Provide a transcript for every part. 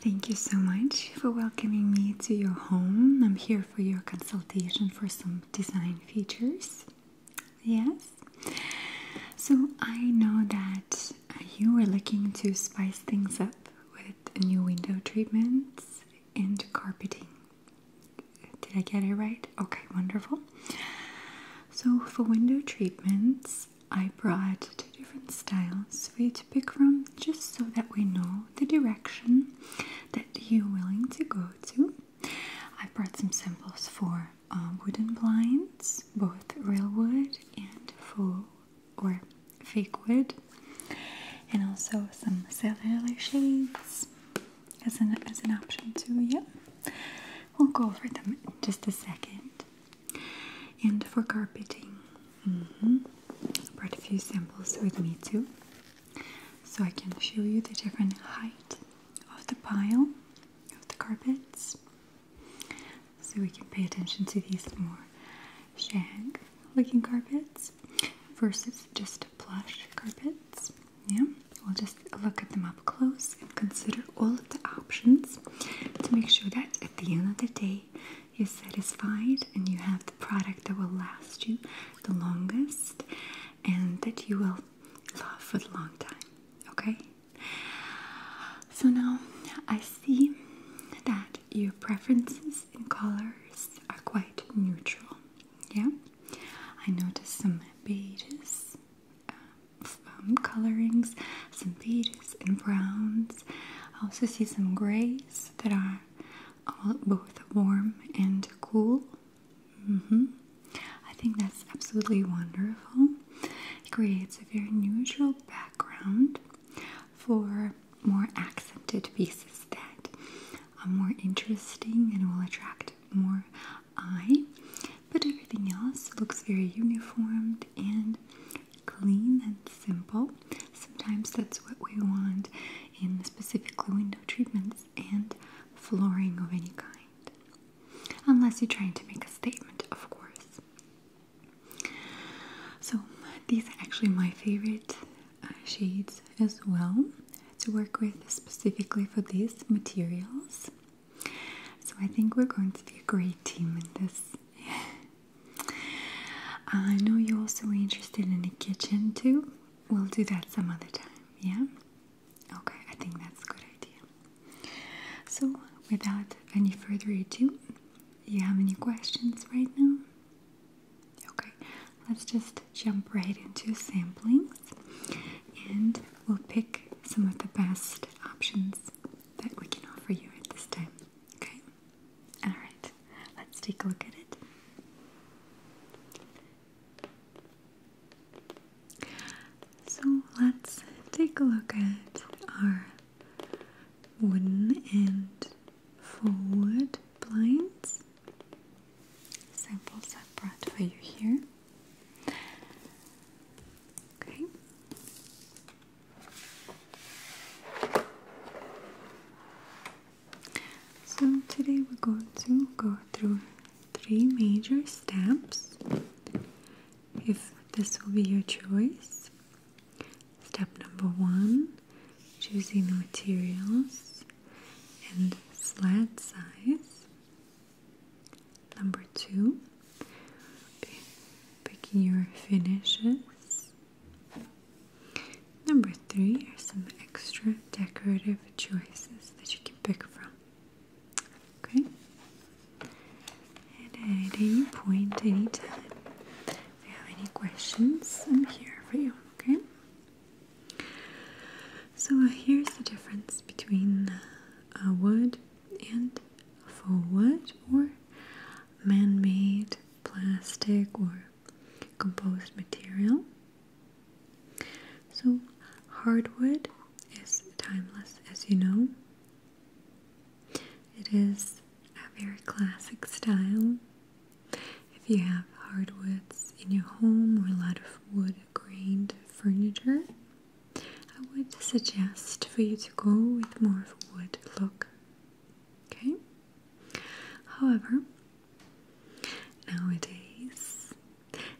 Thank you so much for welcoming me to your home. I'm here for your consultation for some design features. Yes. So I know that you were looking to spice things up with new window treatments and carpeting. Did I get it right? Okay, wonderful. So for window treatments, I brought two different styles for you to pick from just so that we know the direction that you're willing to go to. I brought some samples for uh, wooden blinds, both real wood and faux or fake wood, and also some cellular shades as an as an option too. Yeah, we'll go over them in just a second and for carpeting I mm-hmm, brought a few samples with me too so I can show you the different height of the pile of the carpets so we can pay attention to these more shag looking carpets versus just plush carpets yeah we'll just look at them up close and consider all of the options to make sure that at the end of the day you're satisfied and you have the product that will last you the longest and that you will love for the long time. Okay? So now I see that your preferences in colors are quite neutral. Yeah? I noticed some beiges, uh, um, colorings, some beiges and browns. I also see some grays that are both warm and cool. Mm-hmm. I think that's absolutely wonderful. creates a very neutral background for more accented pieces that are more interesting and will attract more eye but everything else looks very uniformed and clean and simple. Sometimes that's what we want in specifically window treatments and flooring of any kind. Unless you're trying to make a statement, of course. So, these are actually my favorite uh, shades as well to work with specifically for these materials. So I think we're going to be a great team in this. I know you also are interested in the kitchen too. We'll do that some other time, yeah? Okay, I think that's a good idea. So, without any further ado, you have any questions right now? Okay, let's just jump right into samplings and we'll pick some of the best options that we can offer you at this time. Okay? Alright, let's take a look at it. So let's take a look at our wooden and forward blinds. Samples i brought for you here. Okay. So today we're going to go through three major steps. If this will be your choice. Step number one, choosing the materials and sled size. Number two, picking your finishes. Number three are some extra decorative choices that you can pick from. Okay? at any point, any time, if you have any questions, I'm here for you, okay? So here's the difference between a uh, wood and for wood or man-made plastic or composed material. So hardwood is timeless as you know. It is a very classic style. If you have hardwoods in your home or a lot of wood grained furniture, I would suggest for you to go with more of a wood look. Okay? However, nowadays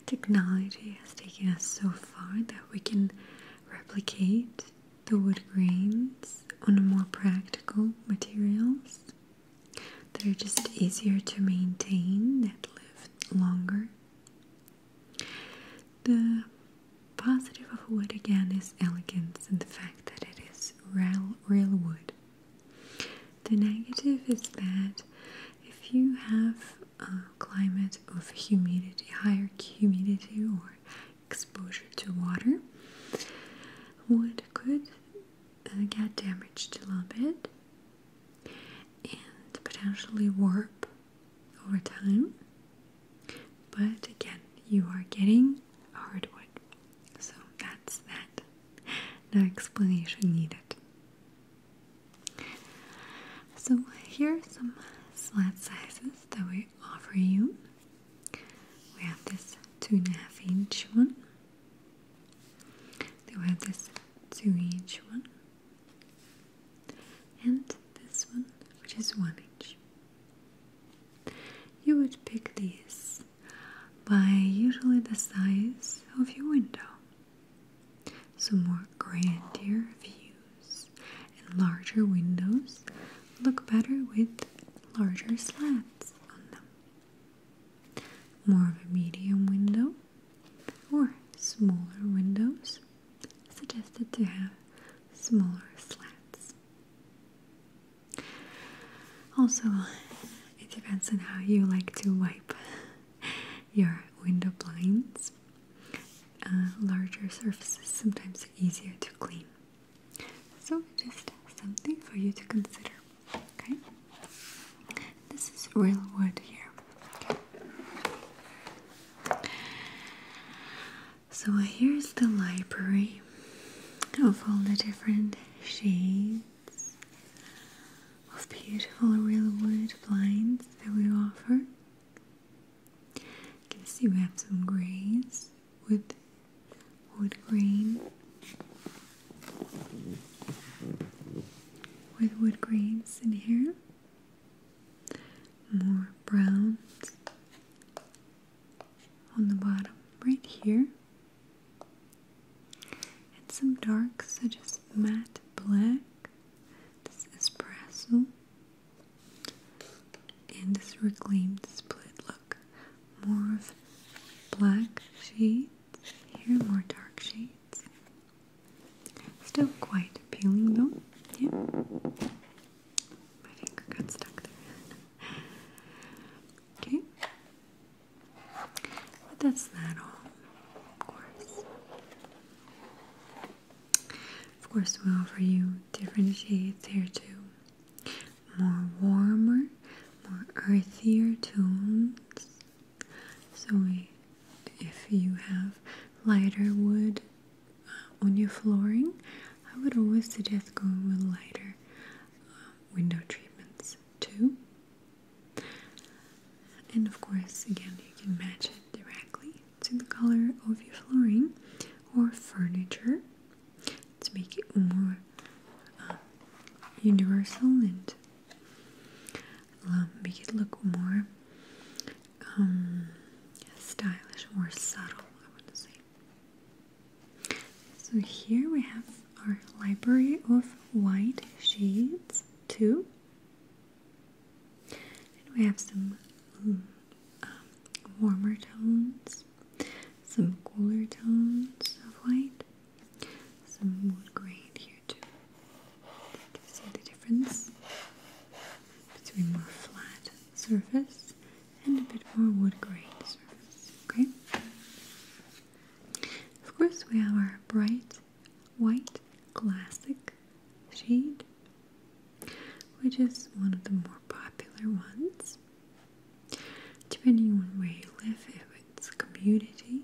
technology has taken us so far that we can replicate the wood grains on more practical materials that are just easier to maintain, that live longer. The positive of wood again is elegance and the fact that it is real, real wood. The negative is that if you have a climate of humidity, higher humidity or exposure to water, wood could uh, get damaged a little bit and potentially warp over time. But again, you are getting hardwood. So that's that. No explanation needed. So here are some slat sizes that we offer you. We have this two and a half inch one. Then we have this two inch one and this one which is 1 inch. You would pick these by usually the size of your window. So more grander views and larger windows look better with larger slats on them. More of a medium window or smaller windows suggested to have smaller slats. Also, it depends on how you like to wipe your window blinds. Uh, larger surfaces sometimes easier to clean. So, just something for you to consider. Okay? This is real wood here. So here's the library of all the different shades of beautiful real wood blinds that we offer. You can see we have some grays with wood grain with wood grains in here more browns on the bottom right here and some darks such as matte black this espresso and this reclaimed split look more of black shades here more dark shades still quite appealing though yeah my finger got stuck there. okay. But that's not all, of course. Of course, we offer you different shades here too. More warmer, more earthier tones. So, we, if you have lighter wood on your flooring, I would always suggest going with lighter um, window treatments too. And of course, again, you can match it directly to the color of your flooring or furniture to make it more um, universal and um, make it look more um, stylish, more subtle, I want to say. So here we have our library of white shades too. And we have some mm, um, warmer tones, some cooler tones of white, some wood grain here too. You see the difference between more flat surface and a bit more wood grain surface. Okay. Of course, we have our bright white classic shade, which is one of the more popular ones. Depending on where you live, if it's community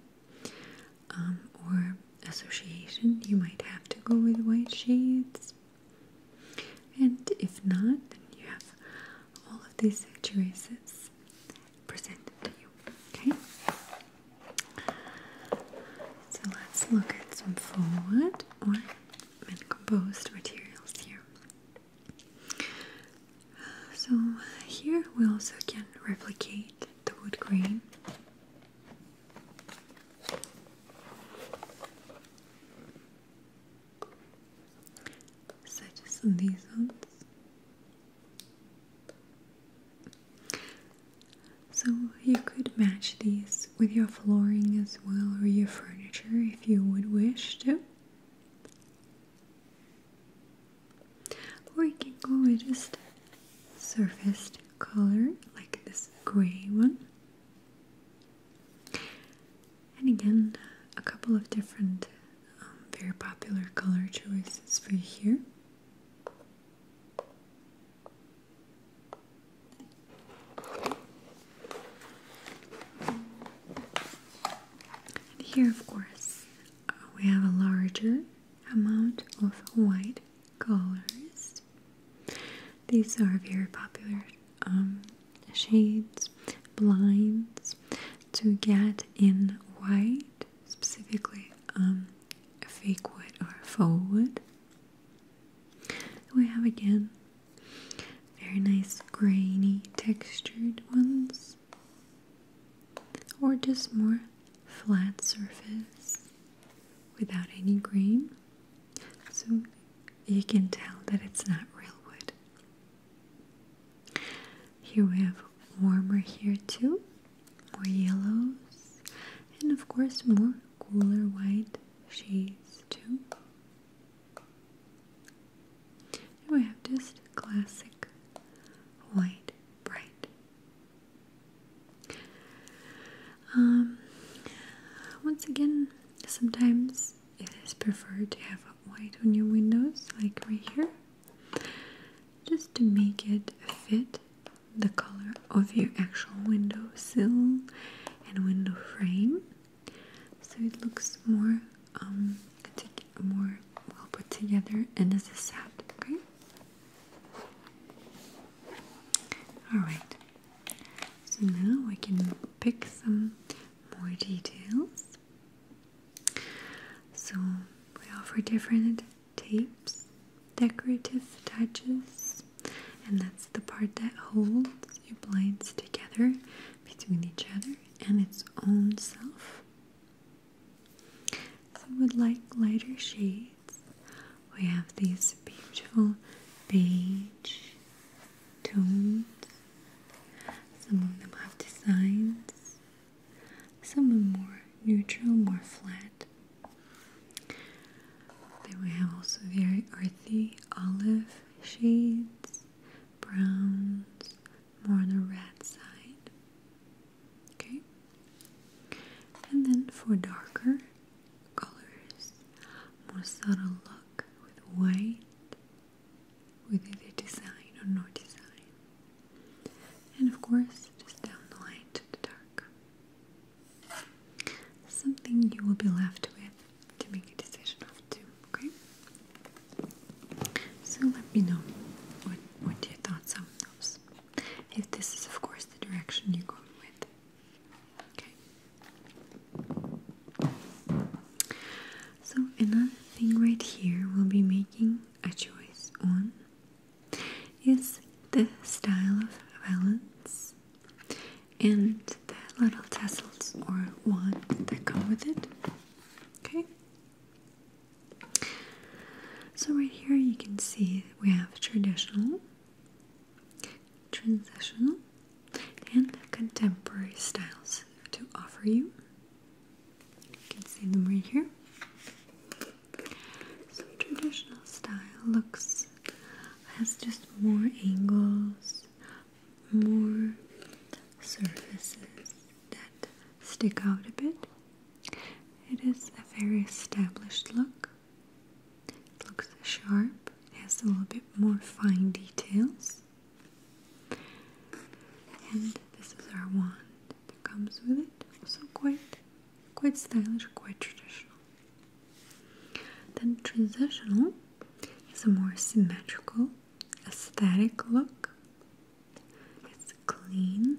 um, or association, you might have to go with white shades. And if not, then you have all of these choices presented to you. Okay? So let's look at some forward or composed materials here. So here we also can replicate the wood grain such as these ones. So you could match these with your flooring as well or your furniture if you would wish to. Or you can go with just surfaced color like this gray one and again, a couple of different um, very popular color choices for you here. And here, of course, uh, we have a larger amount of white colors. These are very popular um, shades, blinds to get in white, specifically um, fake wood or faux wood. We have again very nice grainy textured ones or just more flat surface without any grain so you can tell that it's not real wood. Here we have warmer here too, more yellows, and of course more cooler white shades too. And we have just classic white bright. Um, once again, sometimes it is preferred to have white on your windows, like right here, just to make it fit the color of your actual window sill and window frame, so it looks more um more well put together and as a set. Okay. All right. So now we can pick some more details. So we offer different tapes, decorative touches, and that's the part that holds your blinds together between each other and its own self. I would like lighter shades. We have these beautiful beige tones. Some of them have designs. Some are more neutral, more flat. Then we have also very earthy olive shades, browns, more on the red side. Okay. And then for darker colors, more subtle look with white, with either design or no design. And of course, just down the line to dark. Something you will be left with to make a decision of too, okay? So let me know what, what your thoughts on those. If this is of course the direction you're going with. So another thing right here we'll be making a choice on is the style of balance and the little tassels or wand that go with it. Okay. So right here you can see we have traditional transitional and contemporary styles to offer you. You can see them right here. Some traditional style looks has just more angles, more surfaces that stick out a bit. It is a very established look. It looks sharp, It has a little bit more fine details. And this is our wand that comes with it. Also quite quite stylish, quite traditional. Then transitional has a more symmetrical, aesthetic look. It's clean,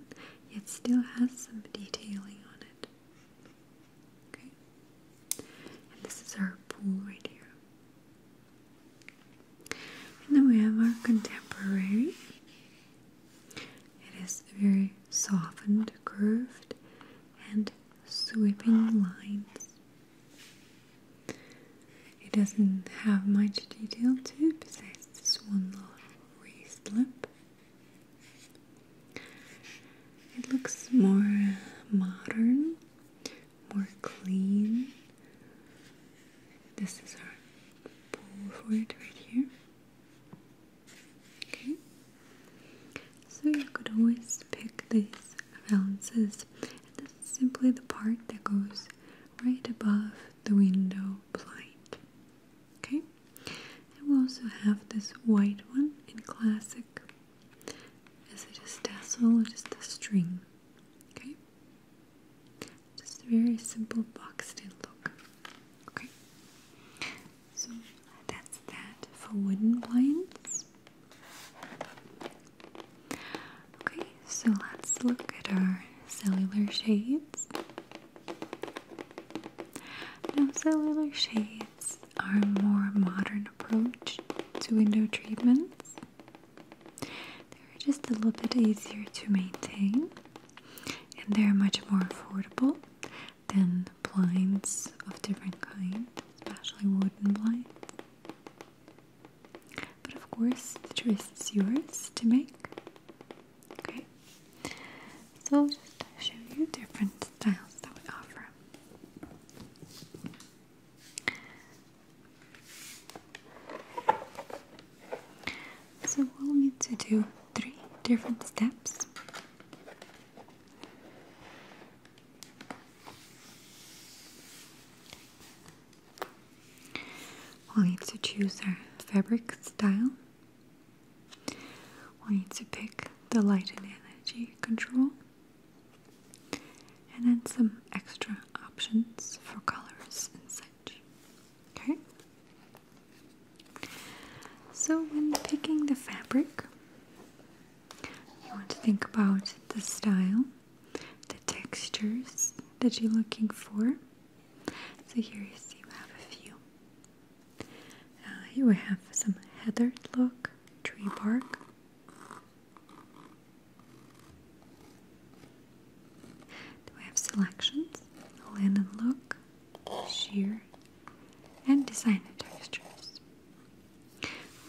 yet still has some detailing on it. Okay. And this is our pool right here. And then we have our contemporary. It is very softened, curved, and sweeping lines. It doesn't have much detail to it besides this one little raised lip. It looks more modern, more clean. This is our pull for it right here. Okay, so you could always pick these valances. This is simply the part that goes right above the window blind. Okay, and we also have this white one in classic is it a tassel or just a string? Okay. Just a very simple boxed in look. Okay. So that's that for wooden blinds. Okay, so let's look at our cellular shades. Now, cellular shades are a more modern approach to window treatments. They're just a little bit easier to maintain and they're much more affordable than blinds of different kinds, especially wooden blinds. But of course, the choice is yours to make. Okay, so I'll just show you different styles that we offer. So we'll need to do three different steps. we need to choose our fabric style. we need to pick the light and energy control and then some extra options for colors and such. Okay? So, when picking the fabric, you want to think about the style, the textures that you're looking for. So, here you see we have a few uh, here we have some heathered look, tree bark. Then we have selections, linen look, sheer, and designer textures.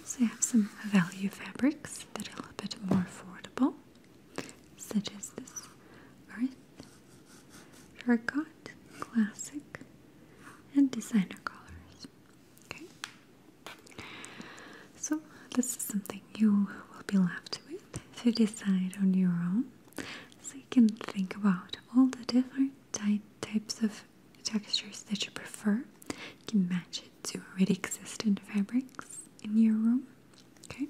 Also have some value fabrics that are a little bit more affordable, such as this earth, terracotta, classic, and designer colors. Okay. So this is something you will be left with to decide on your own. So you can think about all the different types of textures that you prefer. You can match it to already existing fabrics in your room. Okay.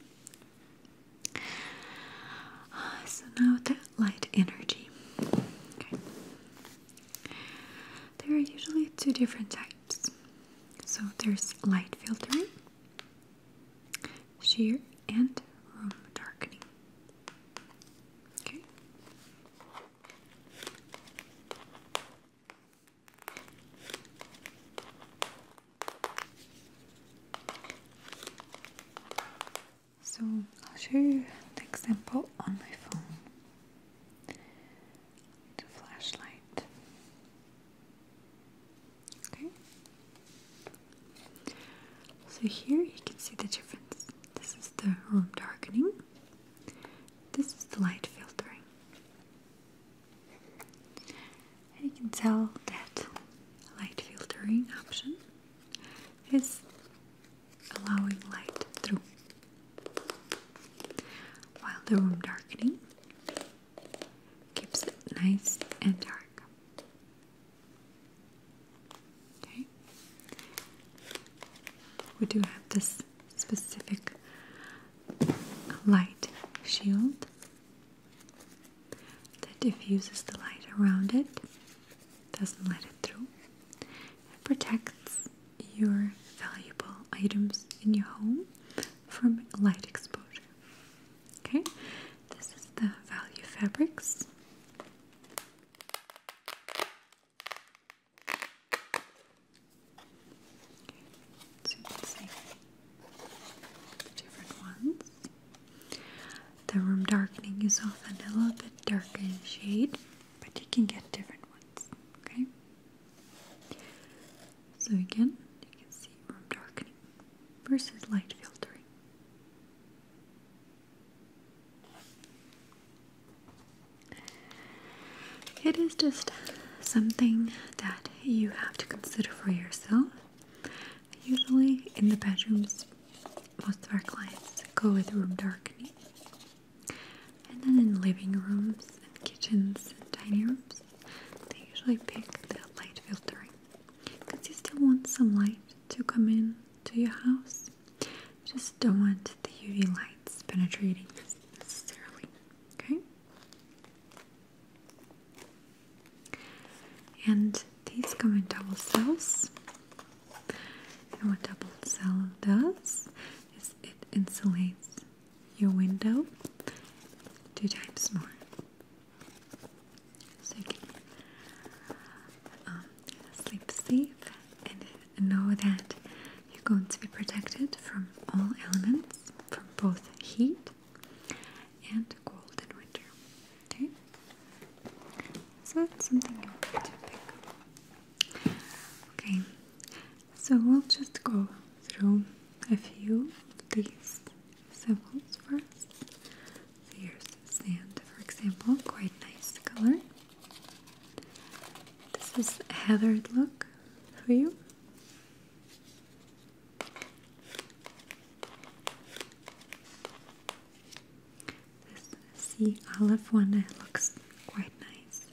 so now that light energy. Okay. There are usually two different types. So there's light filtering, sheer, and room darkening. Okay. So I'll show you the example on my phone. The flashlight. Okay. So here you can see the difference. This is the room darkening. This is the light filtering. you can tell that light filtering option is allowing light through while the room darkening keeps it nice and dark. Okay. We do have this specific light shield that diffuses the light around it doesn't let it through. It protects your valuable items in your home from light exposure. Okay, this is the value fabrics. so you can see different ones. The room darkening is often a little bit darker in shade but you can get different ones, okay? So again, you can see room darkening versus light filtering. It is just something that you have to consider for yourself. Usually in the bedrooms, most of our clients go with room darkening and then in living rooms and kitchens and tiny rooms, they usually pick the light filtering because you still want some light to come in to your house. just don't want the UV lights penetrating necessarily. Okay? And these come in double cells. And what double cell does is it insulates your window two times more. So you can um, sleep safe and know that you're going to be protected from all elements, from both heat and cold in winter. Okay? So that's something you need to pick up. Okay, so we'll just go through a few of these symbols first. here's sand, for example, quite nice color. This is a heathered look for you. This sea olive one looks quite nice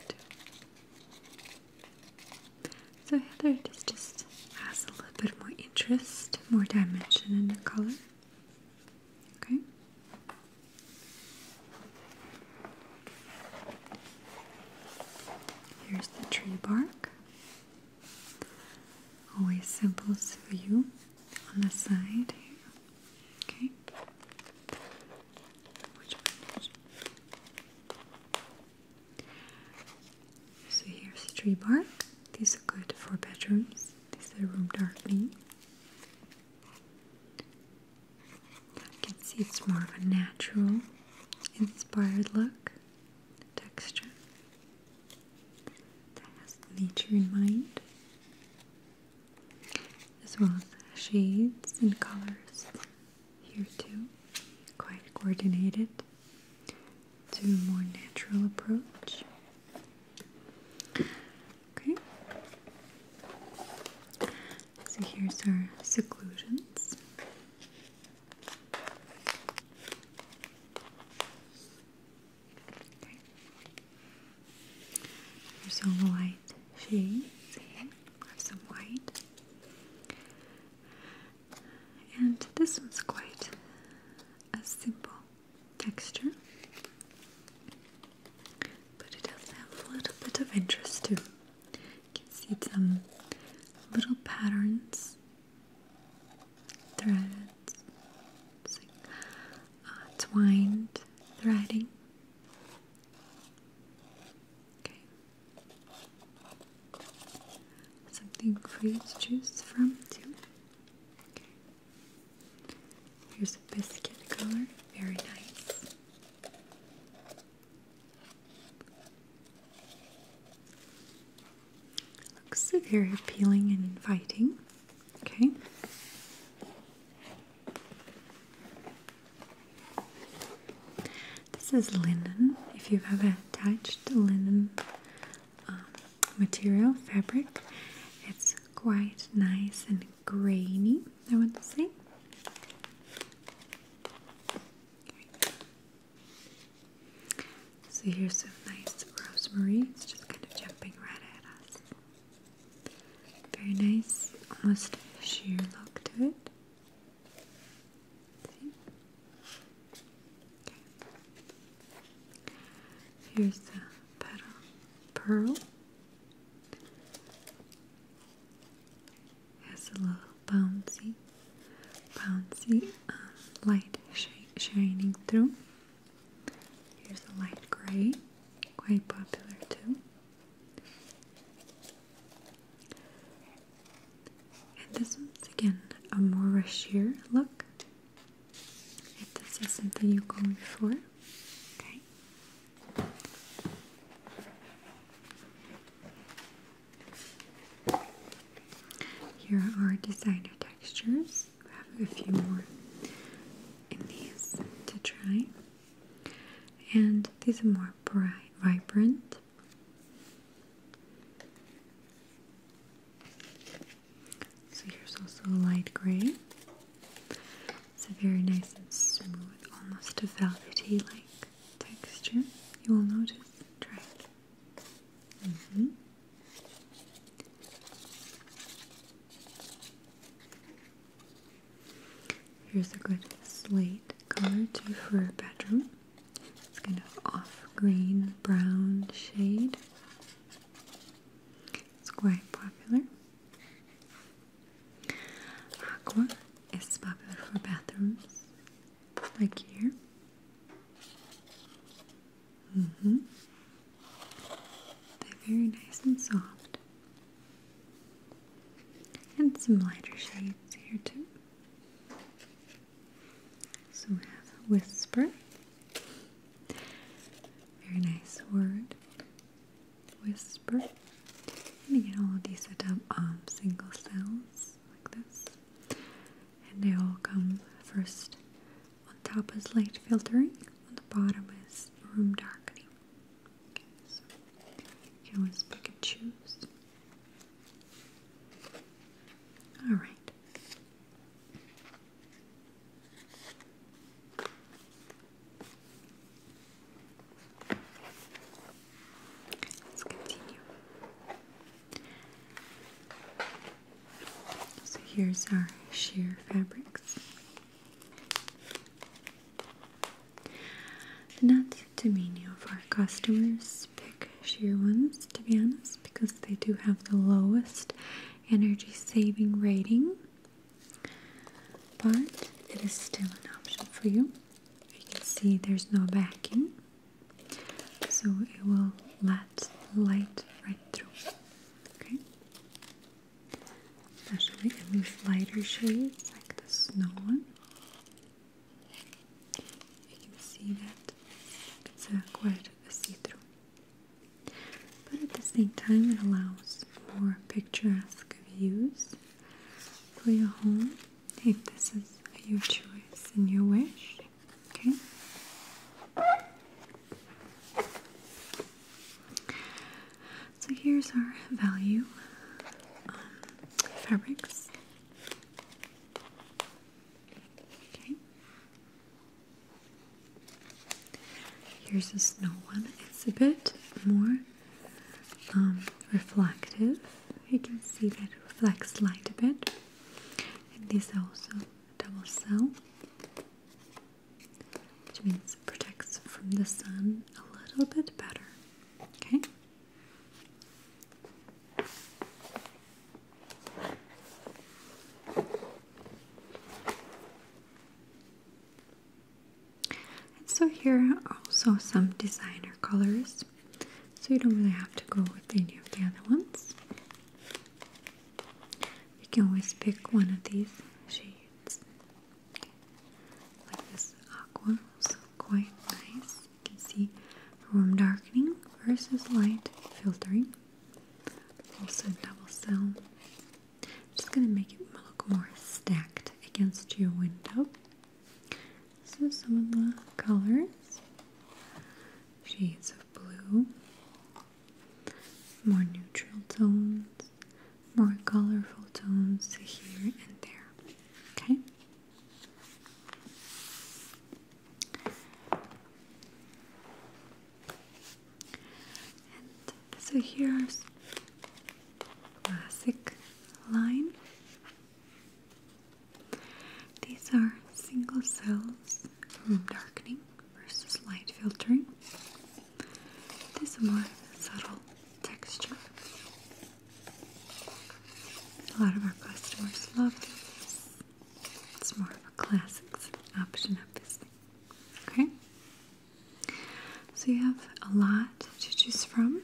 So Heather, just has a little bit more interest, more dimension in the color. Okay. Here's the tree bark. Always simple, for you on the side Okay so here's a tree bark. These are good for bedrooms. These are room darkening. You can see it's more of a natural, inspired look, texture that has nature in mind as well as shades and colors here too, quite coordinated to a more natural approach. Okay, so here's our seclusions. There's some white shades here. I some white. And this one's quite a simple texture. But it does have a little bit of interest too. You can see some little patterns, threads, like, uh, twined threading Okay. Something for you to choose from too. Okay. Here's a biscuit color. Very nice. Looks very appealing and inviting. Okay. This is linen. If you've ever touched linen um, material, fabric, it's quite nice and grainy, I want to say. So here's some nice rosemary. It's just kind of jumping right at us. Very nice, almost sheer look to it. Okay. Here's the petal pearl. Has a little bouncy, bouncy uh, light sh shining through. Here's a light gray, quite popular too. And this one's again a more sheer look. If this is something you are going for, okay. Here are designer textures. We have a few more in these to try and these are more bright, vibrant. So here's also a light gray. It's a very nice and smooth, almost a velvety-like texture. You will notice. Try Here's a good slate color too for a bedroom. It's kind of off green brown shade. It's quite popular. Aqua is popular for bathrooms, like here. -hmm. They're very nice and soft. And some lighter shades here too. So we have whisper. Very nice word. Whisper. Let me get all of these set up um, single sounds like this. And they all come first. On top is light filtering, on the bottom is room darkening. Okay, so can always pick and choose. All right. let's continue. So here's our sheer fabrics. Not to mean of our customers pick sheer ones, to be honest, because they do have the lowest energy saving rating. But it is still an option for you. You can see there's no backing, so it will let light right through. Okay especially in these lighter shades like the snow one. You can see that it's uh, quite a see-through. But at the same time it allows for picturesque views for your home if this is your choice and your wish. Okay. So here's our value fabrics. Okay. Here's this snow one. It's a bit more um, reflective. You can see that it reflects light a bit. And this also double cell which means it protects from the sun a little bit better. Okay? And so here are also some designer colors. So you don't really have to go with any of the other ones. You can always pick one of these shades like this aqua, is quite nice. You can see room darkening versus light filtering. Also double cell. Just gonna make it look more stacked against your window. So some of the colors, shades of blue, more neutral tones, more colorful tones here and there. Okay? And so here's classic line. These are single cells from darkening versus light filtering. There's a more subtle texture. A lot of our customers love this. It's more of a classics option of this Okay? So you have a lot to choose from.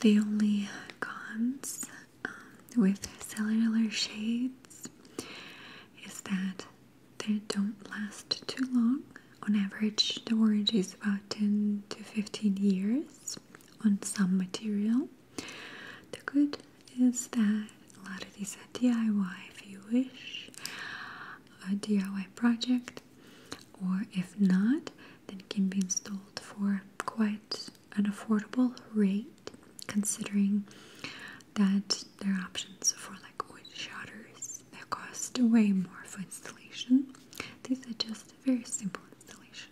The only cons um, with cellular shades is that they don't last too long. On average, the warranty is about 10 to 15 years on some material. The good is that a lot of these are DIY if you wish, a DIY project, or if not, then it can be installed for quite an affordable rate considering that there are options for like wood shutters that cost way more for installation. These are just very simple installation.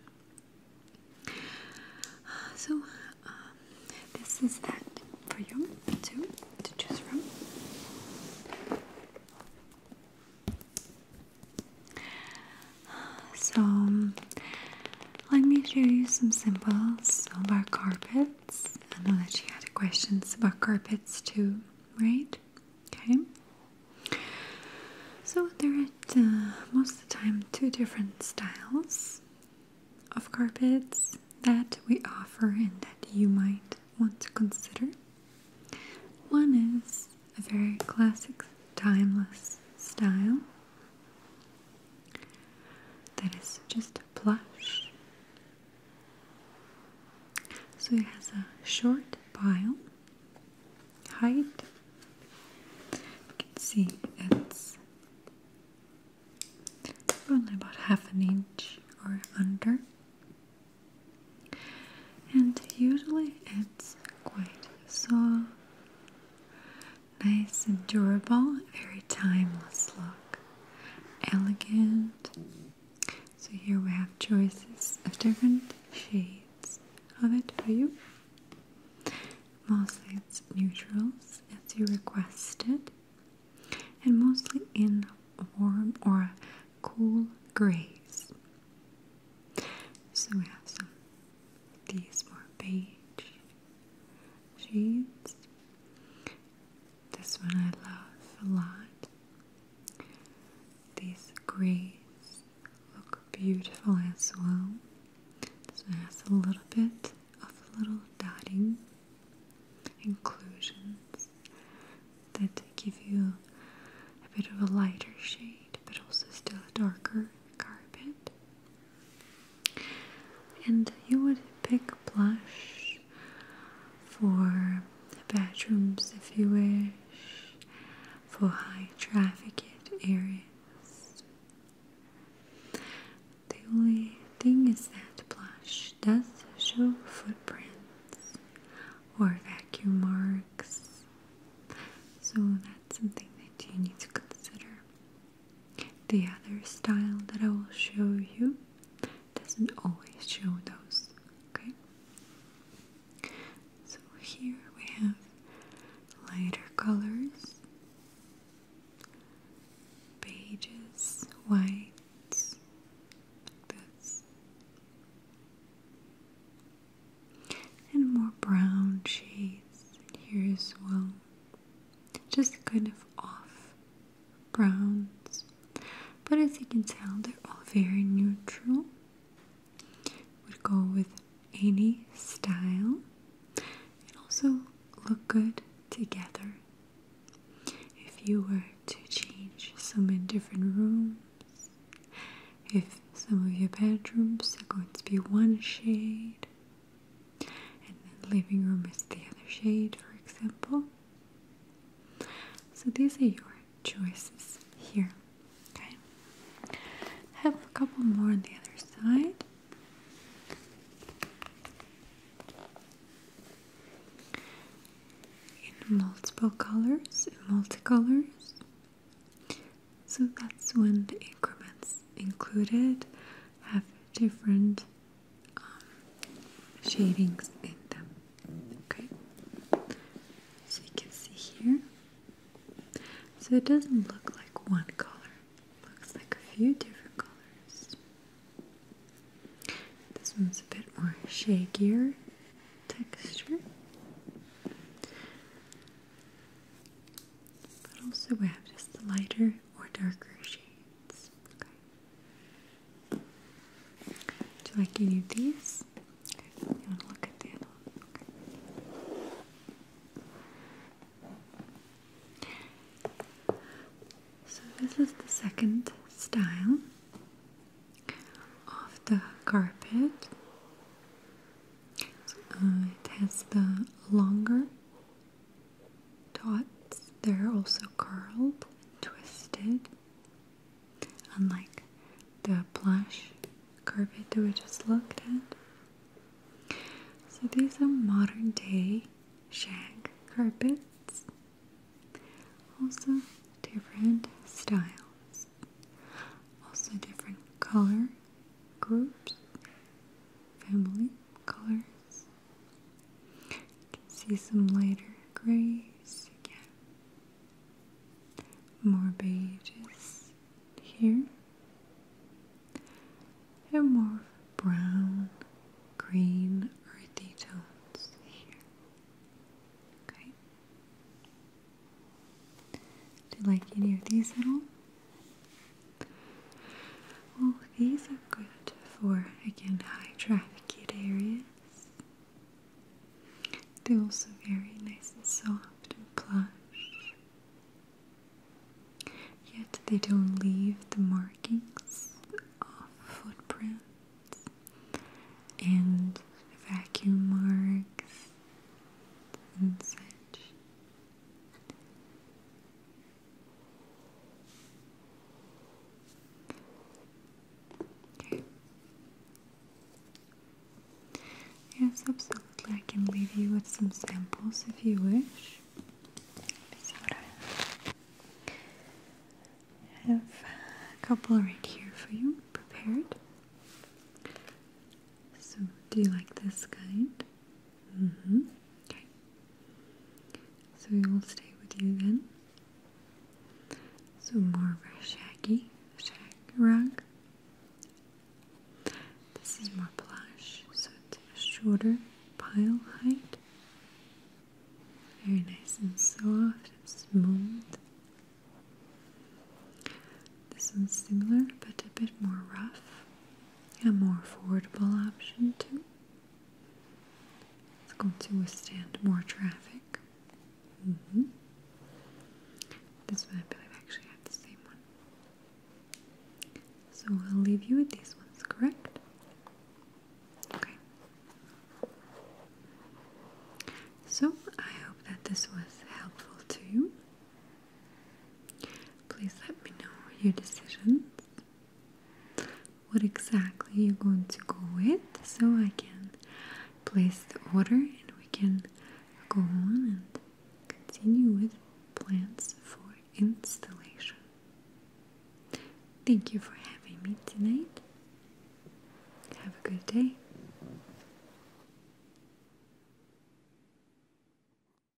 So um, this is that for you to choose from. So let me show you some symbols of our carpets. I know that you had questions about carpets too, right? Okay. So there are uh, most of the time two different styles of carpets that we offer and that you might want to consider. One is a very classic timeless style that is just a plush. So it has a short pile height. You can see it's only about half an inch or under. And usually it's quite soft Nice, durable, very timeless look. Elegant. So here we have choices of different shades of it for you. Mostly it's neutrals as you requested, and mostly in warm or cool grays. So we have some these more beige shades. This one I love a lot. These grays look beautiful as well. So one has a little bit of little dotting inclusions that give you a bit of a lighter shade but also still a darker carpet. And you would pick plush for bathrooms if you wish, for high trafficked areas. The only thing is that plush does show footprints or vacuum marks, so that's something that you need to consider. The other style that I will show you doesn't always show those, okay? So here we have lighter colors, pages, whites, this, and more brown shades here as well just kind of off browns. But as you can tell, they're all very neutral. Would go with any style and also look good together. If you were to change some in different rooms, if some of your bedrooms are going to be one shade, living room is the other shade for example so these are your choices here okay have a couple more on the other side in multiple colors in multicolors so that's when the increments included have different um, shadings in them. Okay, so you can see here. So it doesn't look like one color, looks like a few different colors. This one's a bit more shagier texture. But also we have just the lighter or darker shades. Do you like any of these? You want to look at the other one? So this is the second style of the carpet. So, uh, it has the longer dots, they're also curled, twisted, unlike the plush carpet that we just looked at. So these are modern day shag carpets. Also different styles. Also different color groups, family, colors. You can see some lighter grays again. More beiges here. And more brown, green, earthy tones here. Okay. Do you like any of these at all? Well, these are good for, again, high trafficked areas. They're also very nice and soft and plush. Yet they don't leave the markings of footprints and vacuum marks and such. Yes, absolutely. I can leave you with some samples if you wish. I have a couple right here for you, prepared. So, do you like this kind? Mm -hmm. Okay. So we will stay with you then. So more of a shaggy shag rug. This is more plush, so it's a shorter pile height. Very nice and soft and smooth. This one's similar but a bit more rough a more affordable option too. It's going to withstand more traffic. Mm-hmm. This one I believe actually had the same one. So I'll leave you with these ones, correct? Okay. So I hope that this was helpful to you. Please let me know your decisions. What exactly you're going to go with so I can place the order and we can go on and continue with plans for installation. Thank you for having me tonight. Have a good day.